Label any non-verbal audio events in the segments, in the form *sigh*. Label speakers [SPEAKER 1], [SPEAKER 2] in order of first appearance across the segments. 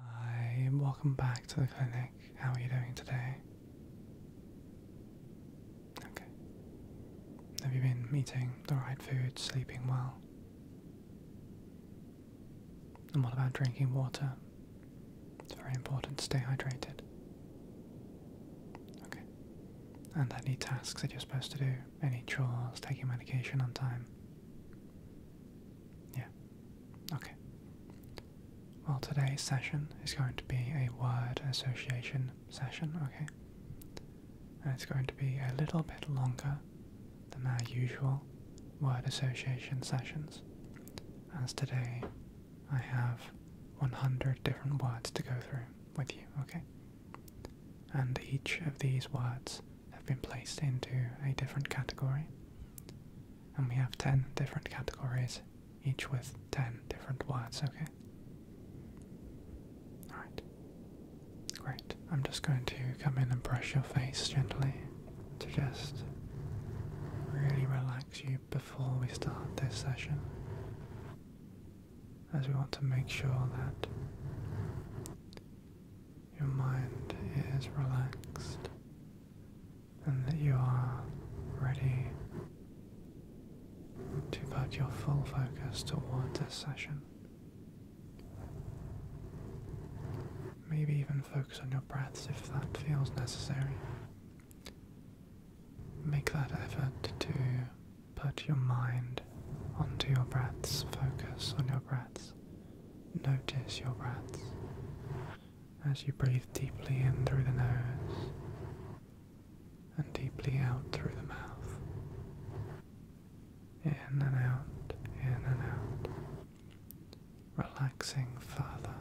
[SPEAKER 1] Hi, and welcome back to the clinic. How are you doing today? Okay. Have you been eating the right food, sleeping well? And what about drinking water? It's very important to stay hydrated. Okay. And any tasks that you're supposed to do, any chores, taking medication on time. Yeah, Okay. Well, today's session is going to be a word association session, okay? And it's going to be a little bit longer than our usual word association sessions, as today I have 100 different words to go through with you, okay? And each of these words have been placed into a different category. And we have 10 different categories, each with 10 different words, okay? Alright. Great. I'm just going to come in and brush your face gently to just really relax you before we start this session. As we want to make sure that your mind is relaxed and that you are ready to put your full focus toward this session. Maybe even focus on your breaths if that feels necessary. Make that effort to put your mind onto your breaths, focus on your breaths, notice your breaths as you breathe deeply in through the nose and deeply out through the mouth. In and out, in and out. Relaxing further,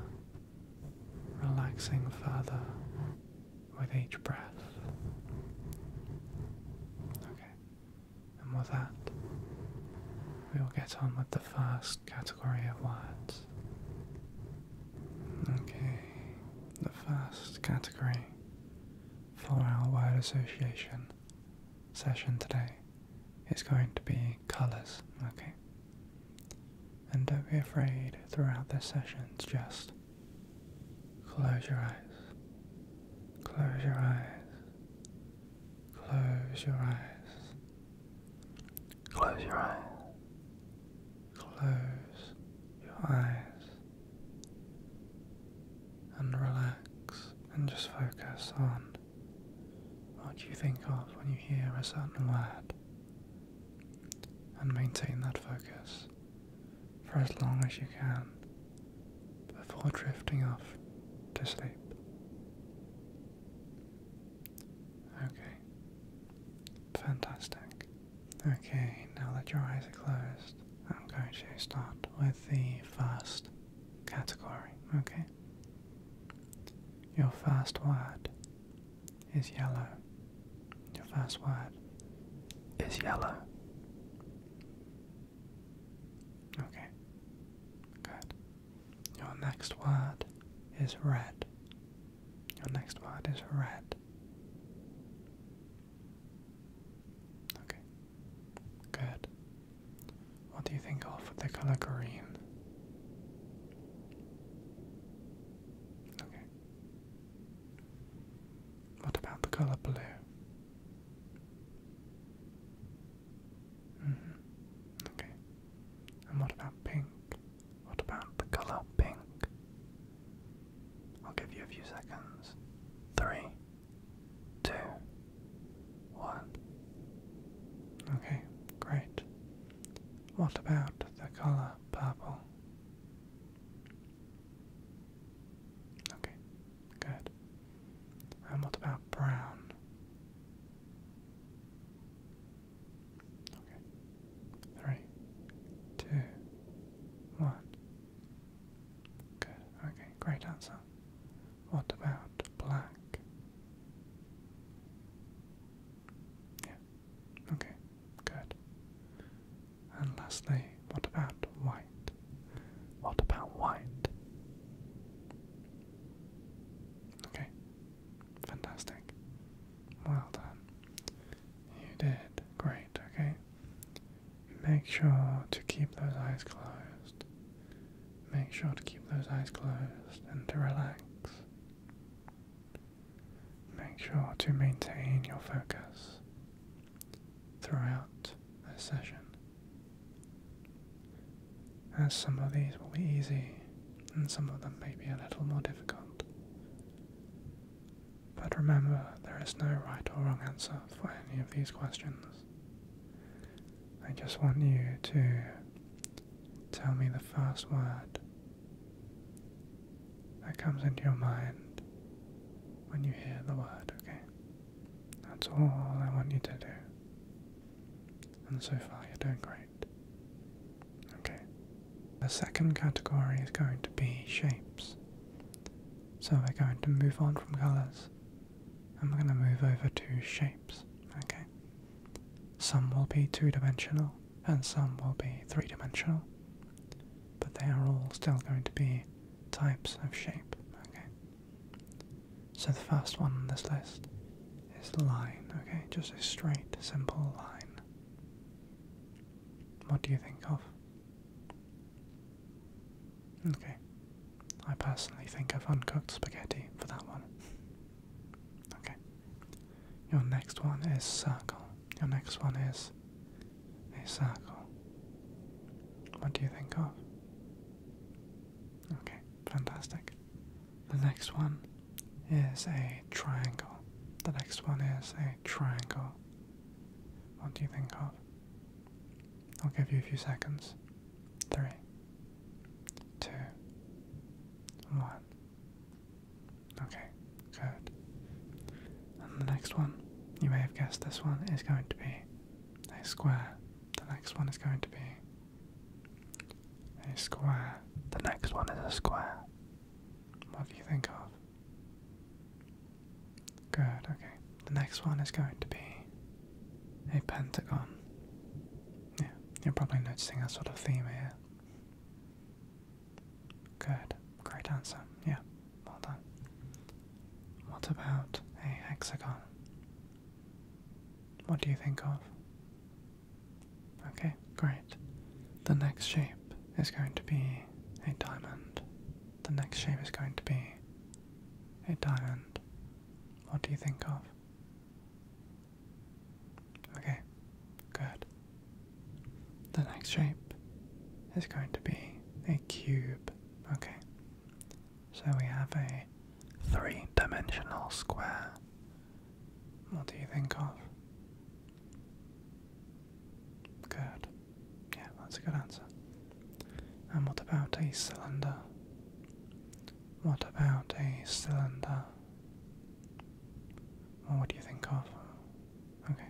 [SPEAKER 1] relaxing further with each breath. Okay, and with that, we will get on with the first category of what? Okay, the first category for our wild association session today is going to be colours, okay? And don't be afraid throughout the sessions. just close your eyes, close your eyes, Close your eyes. Close your eyes. Close your eyes. And relax and just focus on what you think of when you hear a certain word. And maintain that focus for as long as you can before drifting off to sleep. Okay. Fantastic. Okay, now that your eyes are closed, I'm going to start with the first category, okay? Your first word is yellow. Your first word is yellow. Okay, good. Your next word is red. Your next word is red. Okay. Good. What do you think of the color green? Okay. What about the color blue? Mm -hmm. Okay. And what about pink? What about the color pink? I'll give you a few seconds. Three, two, one. Okay, great. What about the color purple? Okay, good. And what about brown? Okay. Three, two, one. Good. Okay, great answer. What about black? Yeah. Okay, good. And lastly, what about white? What about white? Okay, Fantastic. Well done. You did great, okay? Make sure to keep those eyes closed. Make sure to keep those eyes closed and to relax. Make sure to maintain your focus throughout the session. As some of these will be easy, and some of them may be a little more difficult. But remember, there is no right or wrong answer for any of these questions. I just want you to tell me the first word that comes into your mind when you hear the word, okay? That's all I want you to do. And so far, you're doing great. Okay. The second category is going to be shapes. So we're going to move on from colors and we're going to move over to shapes. Okay. Some will be two dimensional and some will be three dimensional, but they are all still going to be types of shape. Okay. So the first one on this list is the line, okay? Just a straight, simple line. What do you think of? Okay. I personally think of uncooked spaghetti for that one. Okay. Your next one is circle. Your next one is a circle. What do you think of? Okay, fantastic. The next one is a triangle. The next one is a triangle. What do you think of? I'll give you a few seconds. Three, two, one. Okay, good. And the next one, you may have guessed this one, is going to be a square. The next one is going to be a square. The next one is a square. What do you think of? Good, okay. The next one is going to be a pentagon. Yeah, you're probably noticing a sort of theme here. Good, great answer. Yeah, well done. What about a hexagon? What do you think of? Okay, great. The next shape is going to be a diamond. The next shape is going to be a diamond. What do you think of? Okay, good. The next shape is going to be a cube. Okay, so we have a three dimensional square what do you think of? Good. Yeah, that's a good answer. And what about a cylinder? What about a cylinder? what do you think of? Okay.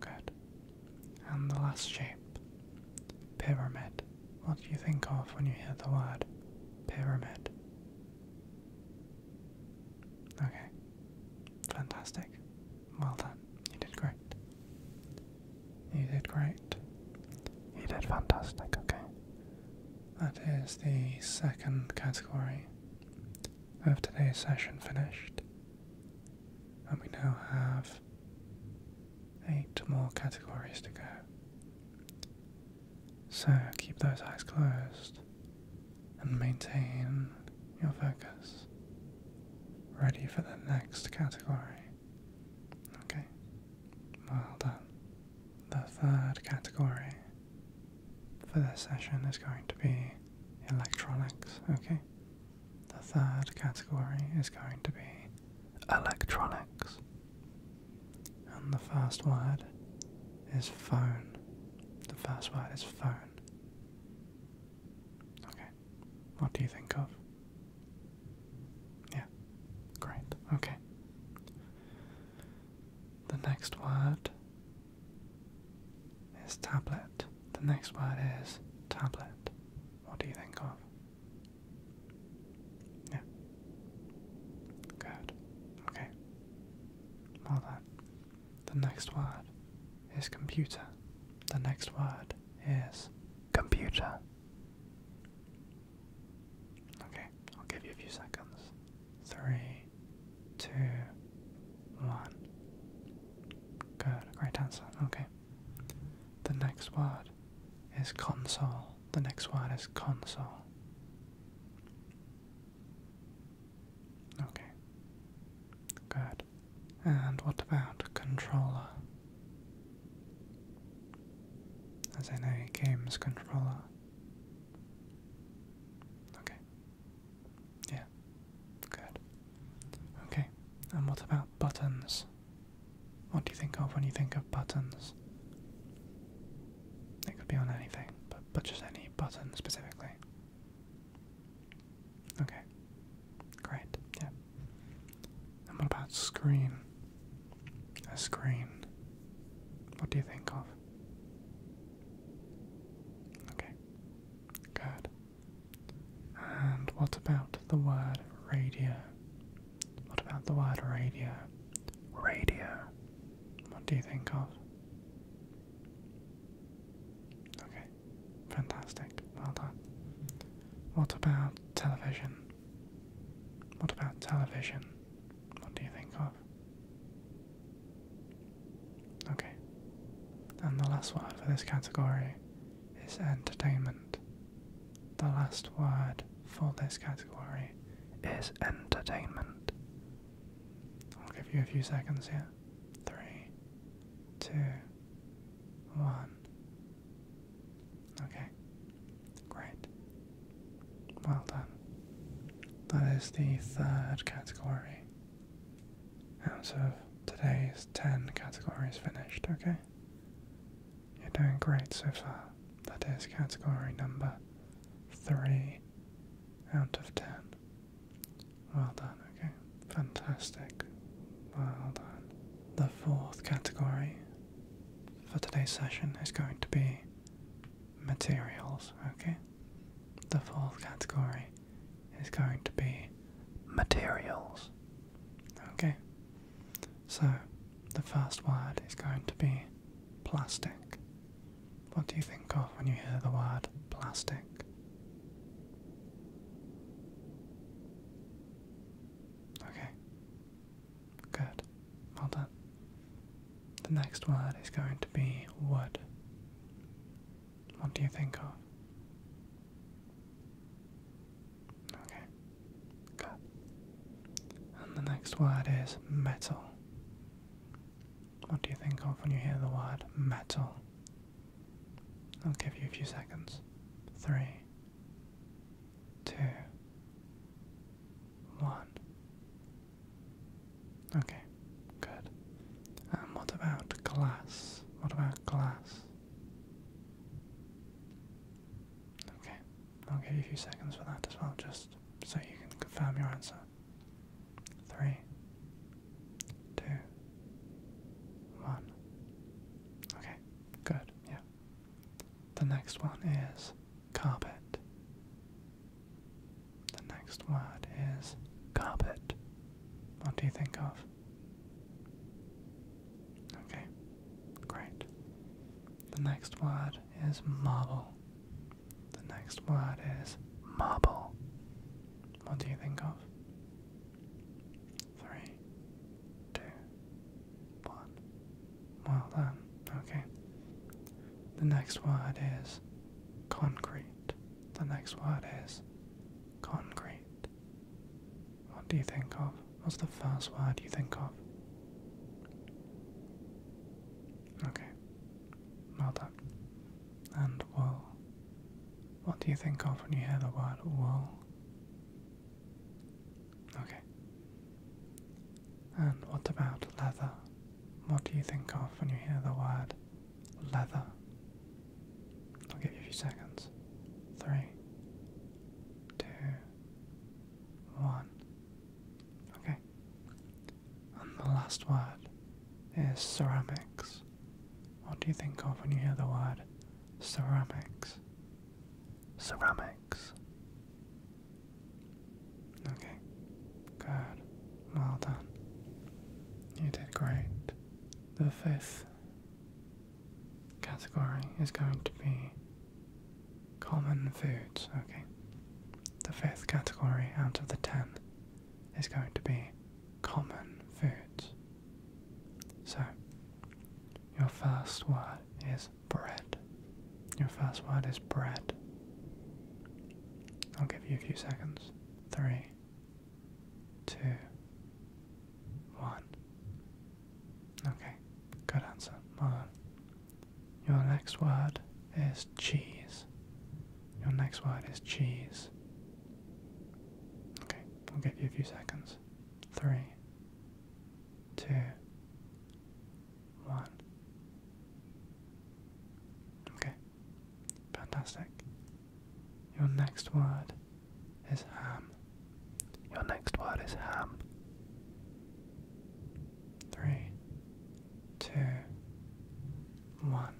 [SPEAKER 1] Good. And the last shape pyramid. What do you think of when you hear the word pyramid? Okay, fantastic. Well done. You did great. You did great. You did fantastic, okay? That is the second category of today's session finished. And we now have eight more categories to go. So keep those eyes closed and maintain your focus. Ready for the next category. Okay, well done. The third category for this session is going to be electronics, okay? The third category is going to be electronics. And the first word is phone. The first word is phone. Okay. What do you think of? Yeah. Great. Okay. The next word is tablet. The next word is tablet. What do you think of? Yeah. Good. Okay. Well then, the next word is computer. The next word is computer. Okay, I'll give you a few seconds. Three, two, one. Good, great answer. Okay. The next word is console. The next one is console. Okay. Good. And what about controller? As in a games controller. Okay. Yeah. Good. Okay. And what about buttons? What do you think of when you think of buttons? It could be on anything, but, but just any button specifically. Okay. Great, yeah. what about screen? A screen. What do you think of? Okay. Good. And what about the word radio? What about the word radio? radio. What do you think of? Okay, fantastic. Well done. What about television? What about television? What do you think of? Okay. And the last word for this category is entertainment. The last word for this category is entertainment. I'll give you a few seconds here. Three, two, one. Okay, great. Well done. That is the third category out of today's 10 categories finished, okay? You're doing great so far. That is category number three out of ten. Well done, okay? Fantastic. Well done. The fourth category for today's session is going to be materials, okay? The fourth category is going to be materials. Okay? So, the first word is going to be Plastic. What do you think of when you hear the word plastic? Okay. Good. Well done. The next word is going to be wood. What do you think of? Okay. Good. And the next word is metal. What do you think of when you hear the word metal? I'll give you a few seconds. Three, two, one. Okay, good. And what about glass? What about glass? Okay, I'll give you a few seconds for that as well, just so you can confirm your answer. Three, two, one. Okay, good, yeah. The next one is carpet. The next word is carpet. What do you think of? Okay, great. The next word is marble. The next word is marble. What do you think of? Three, two, one. Well done. Okay. The next word is concrete. The next word is concrete. What do you think of? What's the first word you think of? Okay. Well done. And wool. What do you think of when you hear the word wool? Okay. And what about leather? What do you think of when you hear the word leather? I'll give you a few seconds. Three, two, one. Okay. And the last word is ceramics. What do you think of when you hear the word ceramics? Ceramics. Okay. Good. Well done. You did great. The fifth category is going to be Common foods, okay. The fifth category out of the ten is going to be common foods. So, your first word is bread. Your first word is bread. I'll give you a few seconds. Three, two, one. Okay, good answer. Well done. Your next word is cheese. Your next word is cheese. Okay, I'll give you a few seconds. Three, two, one. Okay, fantastic. Your next word is ham. Your next word is ham. Three, two, one.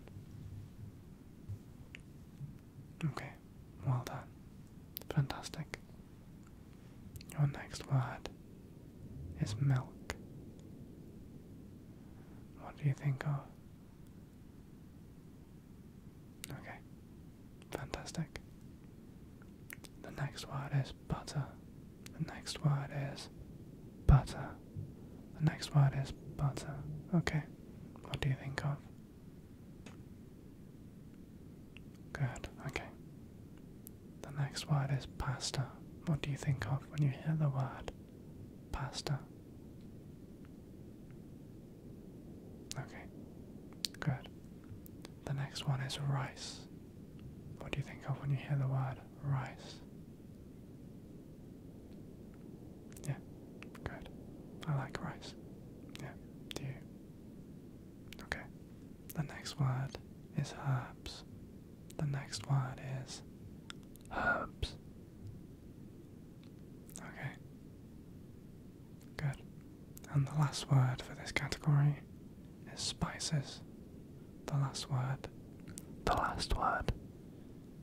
[SPEAKER 1] Okay, well done. Fantastic. Your next word is milk. What do you think of? Okay, fantastic. The next word is butter. The next word is butter. The next word is butter. Okay. What do you think of? Good. Okay. The next word is pasta. What do you think of when you hear the word pasta? Okay. Good. The next one is rice. What do you think of when you hear the word rice? Yeah, good. I like rice. Yeah, do you? Okay. The next word is herbs. The next word is herbs. Okay. Good. And the last word for this category is spices. The last word. The last word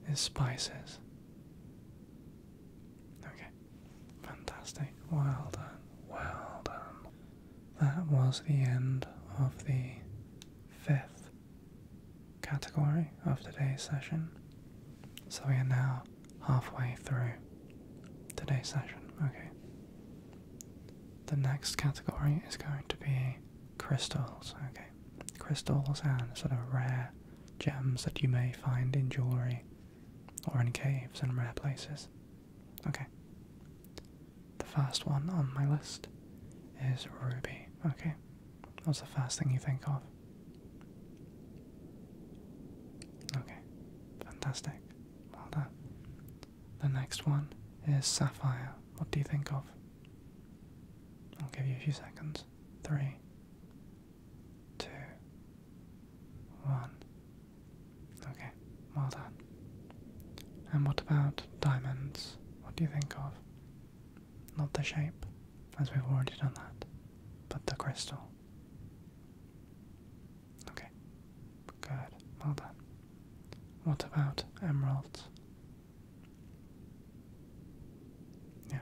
[SPEAKER 1] is spices. Okay, fantastic. Well done. Well done. That was the end of the fifth category of today's session. So we are now halfway through today's session. Okay. The next category is going to be Crystals, okay. Crystals and sort of rare gems that you may find in jewellery or in caves and rare places. Okay. The first one on my list is ruby, okay. What's the first thing you think of? Okay, fantastic. Well done. The next one is sapphire. What do you think of? I'll give you a few seconds. Three, two, one. Okay, well done. And what about diamonds? What do you think of? Not the shape, as we've already done that, but the crystal. Okay, good, well done. What about emeralds? Yeah.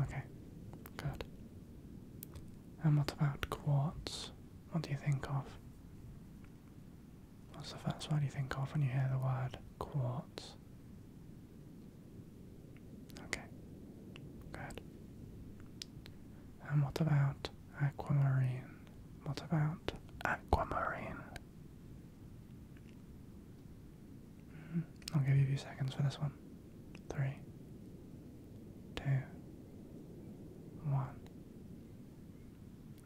[SPEAKER 1] Okay. Good. And what about quartz? What do you think of? What's the first word you think of when you hear the word quartz? Okay. Good. And what about Aquamarine. What about aquamarine? Hmm, I'll give you a few seconds for this one. Three, two, one.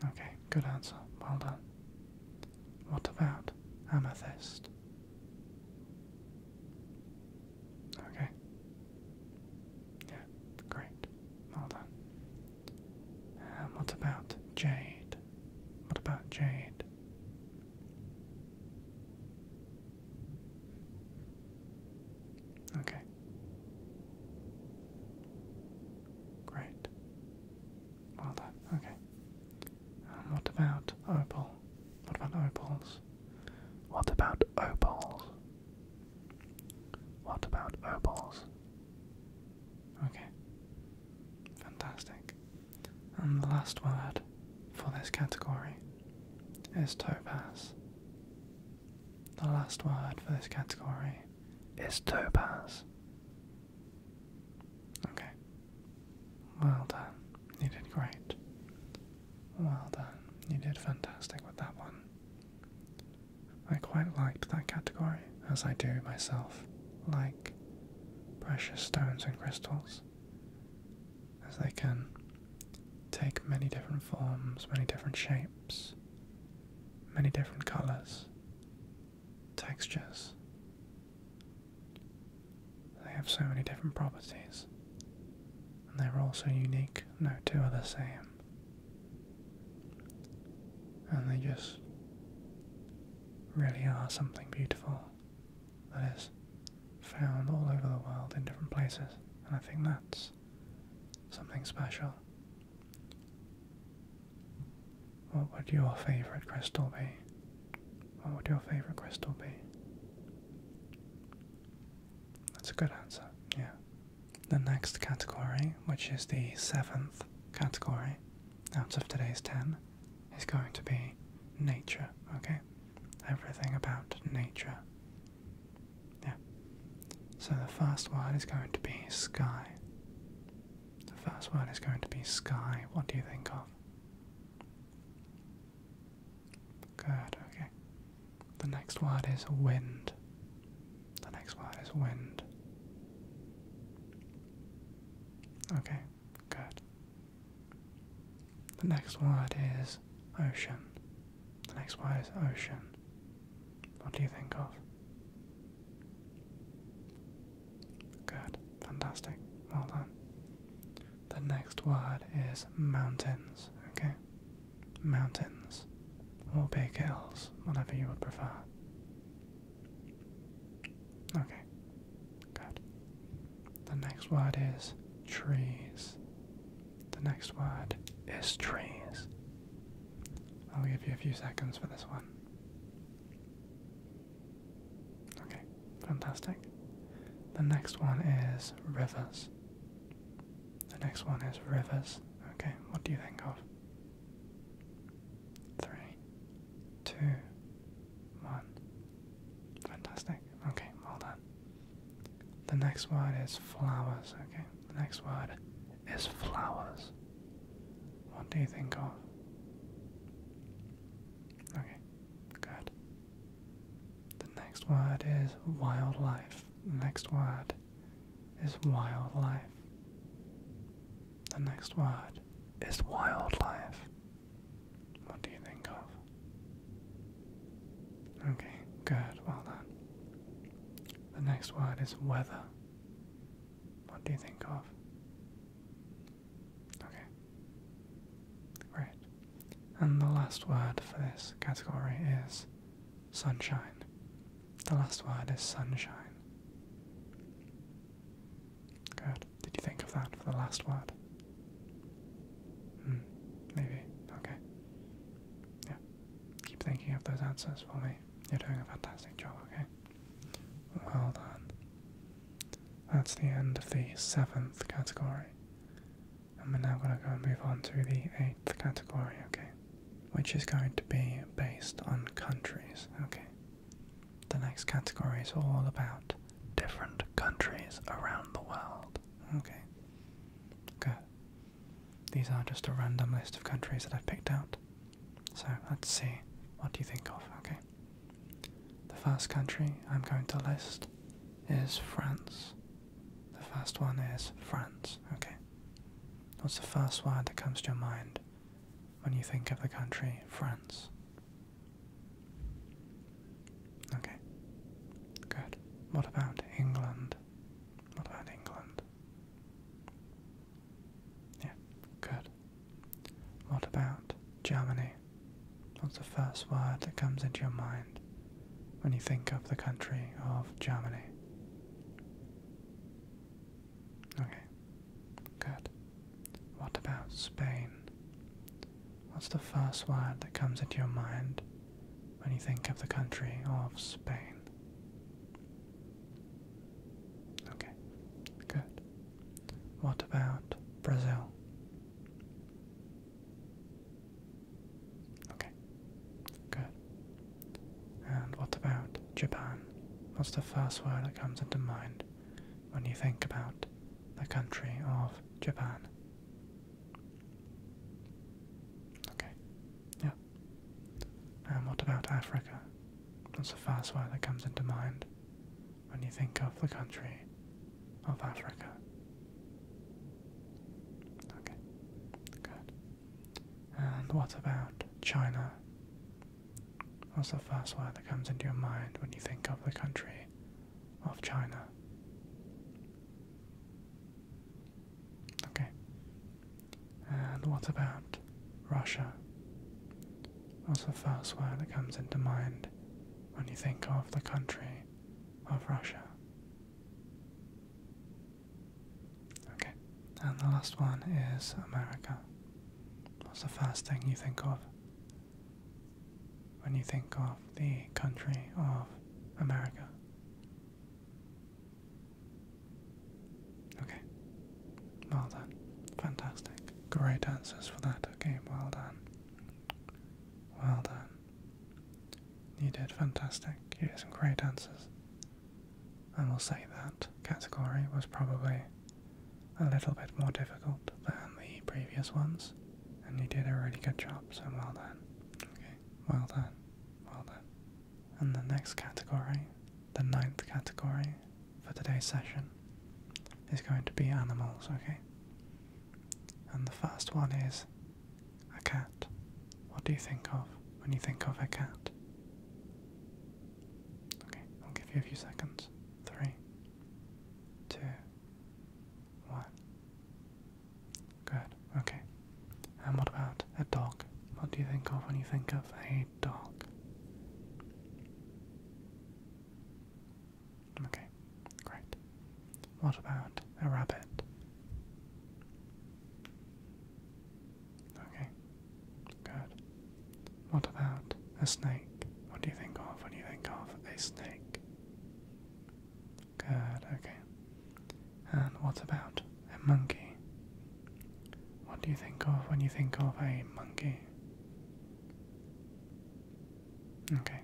[SPEAKER 1] Okay, good answer. Well done. What about amethyst? Okay. Yeah, great. Well done. Uh, what about Jade? What about Jade? Okay. Great. Well done. Okay. Um, what about opal? What about opals? What about opals? What about opals? Okay. Fantastic. And the last word for this category is topaz. The last word for this category is topaz. Okay. Well done. You did great. Well done. You did fantastic with that one. I quite liked that category, as I do myself, like precious stones and crystals, as they can take many different forms, many different shapes, many different colors, textures. They have so many different properties, and they're all so unique, no two are the same. And they just really are something beautiful that is found all over the world in different places. And I think that's something special. What would your favourite crystal be? What would your favourite crystal be? That's a good answer, yeah the next category, which is the seventh category out of today's ten, is going to be nature, okay? Everything about nature. Yeah. So the first word is going to be sky. The first word is going to be sky. What do you think of? Good, okay. The next word is wind. The next word is wind. Okay, good. The next word is ocean. The next word is ocean. What do you think of? Good, fantastic, well done. The next word is mountains, okay? Mountains, or big hills, whatever you would prefer. Okay, good. The next word is trees. The next word is trees. I'll give you a few seconds for this one. Okay, fantastic. The next one is rivers. The next one is rivers. Okay, what do you think of? three, two, one. Fantastic. Okay, well done. The next word is flowers, okay? The next word is flowers. What do you think of? Okay, good. The next word is wildlife. The next word is wildlife. The next word is wildlife. What do you think of? Okay, good, well done. The next word is weather. What do you think of? Okay, great. And the last word for this category is sunshine. The last word is sunshine. Good. Did you think of that for the last word? Hmm. Maybe. Okay. Yeah. Keep thinking of those answers for me. You're doing a fantastic job, okay? Well done. That's the end of the seventh category. And we're now going to go and move on to the eighth category, okay? which is going to be based on countries. Okay. The next category is all about different countries around the world. Okay. Good. These are just a random list of countries that I've picked out. So let's see what do you think of, okay? The first country I'm going to list is France. The first one is France, okay? What's the first word that comes to your mind when you think of the country France. Okay. Good. What about England? What about England? Yeah, good. What about Germany? What's the first word that comes into your mind when you think of the country of Germany? Okay. Good. What about Spain? What's the first word that comes into your mind when you think of the country of Spain? Okay. Good. What about Brazil? Okay. Good. And what about Japan? What's the first word that comes into mind when you think about the country of Japan? Okay, yeah. And what about Africa? What's the first word that comes into mind when you think of the country of Africa? Okay, good. And what about China? What's the first word that comes into your mind when you think of the country of China? Okay. And what about Russia? What's the first word that comes into mind when you think of the country of Russia? Okay, and the last one is America. What's the first thing you think of when you think of the country of America? Okay, well done. Fantastic. Great answers for that. Okay, well done. Well done. You did fantastic. You did some great answers. I will say that category was probably a little bit more difficult than the previous ones, and you did a really good job, so well done. Okay, well done, well done. And the next category, the ninth category for today's session, is going to be animals, okay? And the first one is a cat. What do you think of when you think of a cat? Okay, I'll give you a few seconds. Three, two, one. Good, okay. And what about a dog? What do you think of when you think of a dog? Okay, great. What about a rabbit? Okay. Good. What about a snake? What do you think of when you think of a snake? Good, okay. And what about a monkey? What do you think of when you think of a monkey? Okay,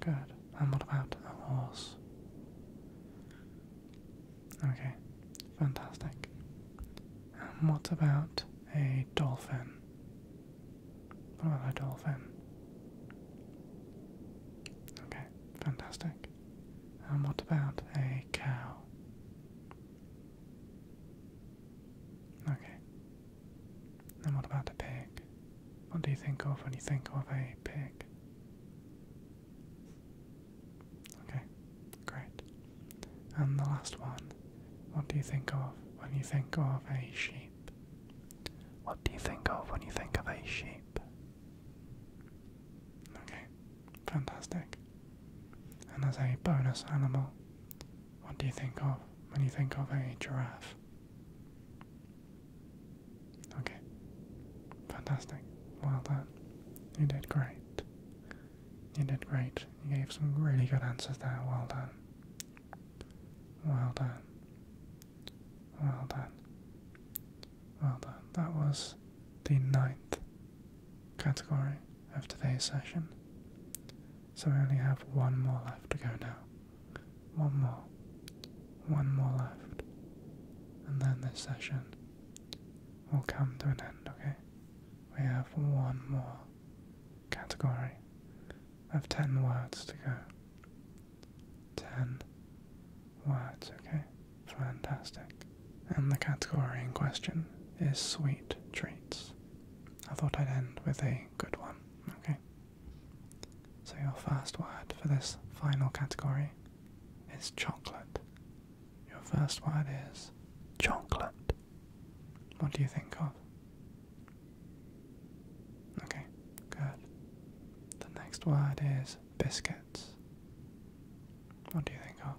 [SPEAKER 1] good. And what about a horse? Okay, fantastic. And what about a dolphin? What about a dolphin? Okay, fantastic. And what about a cow? Okay. And what about a pig? What do you think of when you think of a pig? Okay, great. And the last one, what do you think of when you think of a sheep? What do you think of when you think of a sheep? Okay, fantastic. And as a bonus animal, what do you think of when you think of a giraffe? Okay, fantastic. Well done. You did great. You did great. You gave some really good answers there. Well done. Well done. Well done. Well done. That was the ninth category of today's session. So we only have one more left to go now. One more. One more left. And then this session will come to an end, okay? we have one more category of 10 words to go. 10 words, okay? Fantastic. And the category in question is sweet treats. I thought I'd end with a good one, okay? So, your first word for this final category is chocolate. Your first word is chocolate. What do you think of? Okay, good. The next word is biscuits. What do you think of?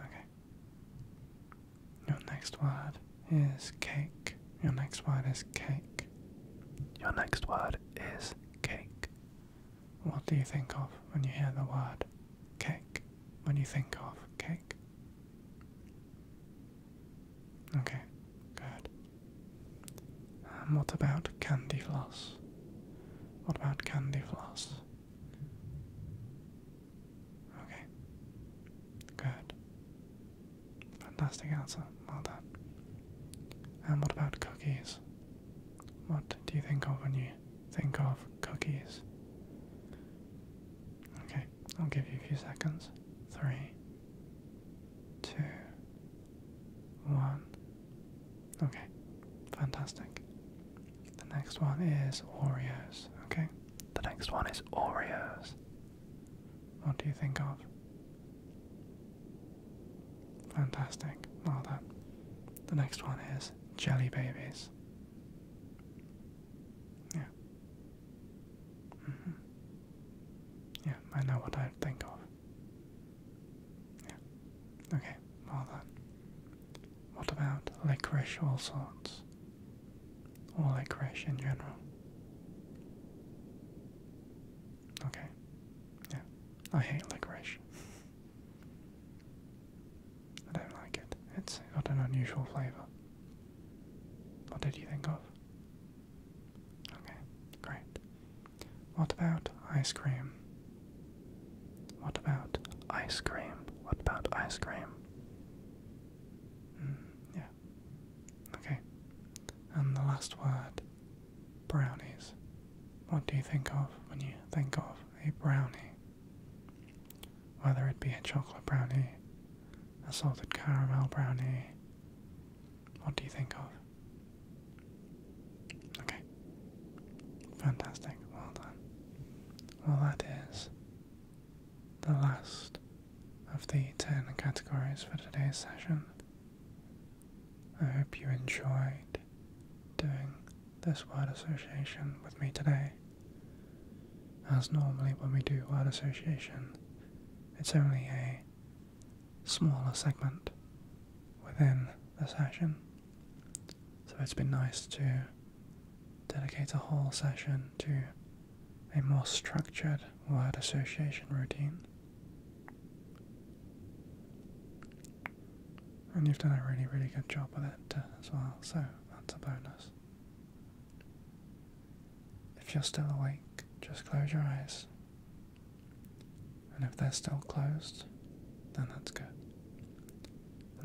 [SPEAKER 1] Okay. Your next word is cake. Your next word is cake. Your next word is cake. What do you think of when you hear the word cake? When you think of cake? Okay, good. And um, what about candy floss? What about candy floss? Okay, good. Fantastic answer, well done. And what about cookies? What do you think of when you think of cookies? Okay, I'll give you a few seconds. Three, two, one. Okay, fantastic. The next one is Oreos, okay? The next one is Oreos. What do you think of? Fantastic, well done. The next one is Jelly Babies. Yeah. -hmm. Yeah, I know what I think of. Yeah. Okay, well then. What about licorice all sorts? Or licorice in general? Okay. Yeah. I hate licorice. *laughs* I don't like it. It's got an unusual flavour. What did you think of? Okay, great. What about ice cream? What about ice cream? What about ice cream? Hmm, yeah. Okay. And the last word, brownies. What do you think of when you think of a brownie? Whether it be a chocolate brownie, a salted caramel brownie, what do you think of? Okay. Fantastic. Well done. Well, that is the last of the 10 categories for today's session. I hope you enjoyed doing this word association with me today. As normally, when we do word association, it's only a smaller segment within the session. So it's been nice to dedicate a whole session to a more structured word association routine. And you've done a really, really good job with it uh, as well, so that's a bonus. If you're still awake, just close your eyes. And if they're still closed, then that's good.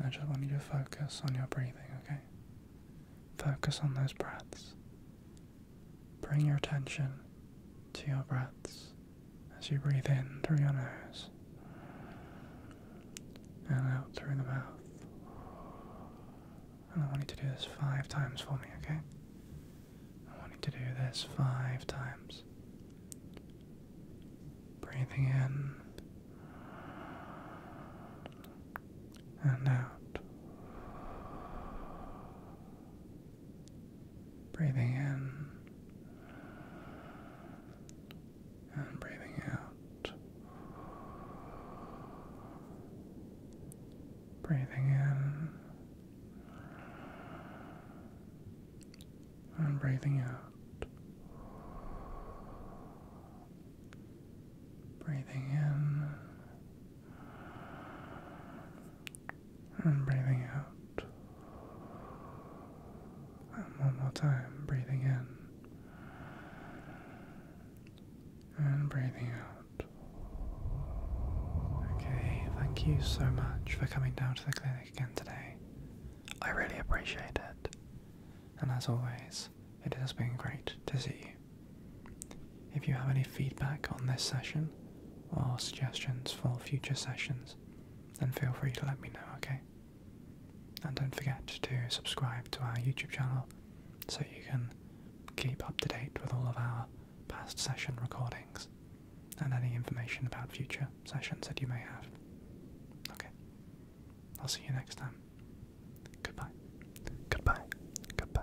[SPEAKER 1] I just want you to focus on your breathing, okay? Focus on those breaths. Bring your attention to your breaths as you breathe in through your nose and out through the mouth. I want you to do this five times for me, okay? I want you to do this five times. Breathing in and out. Breathing in and breathing out. Breathing in and breathing out. Breathing in and breathing out one more time, breathing in and breathing out. Okay, thank you so much for coming down to the clinic again today. I really appreciate it. And as always, it has been great to see you. If you have any feedback on this session or suggestions for future sessions, then feel free to let me know, okay? And don't forget to subscribe to our YouTube channel so you can keep up to date with all of our past session recordings and any information about future sessions that you may have. Okay. I'll see you next time. Goodbye. Goodbye. Goodbye.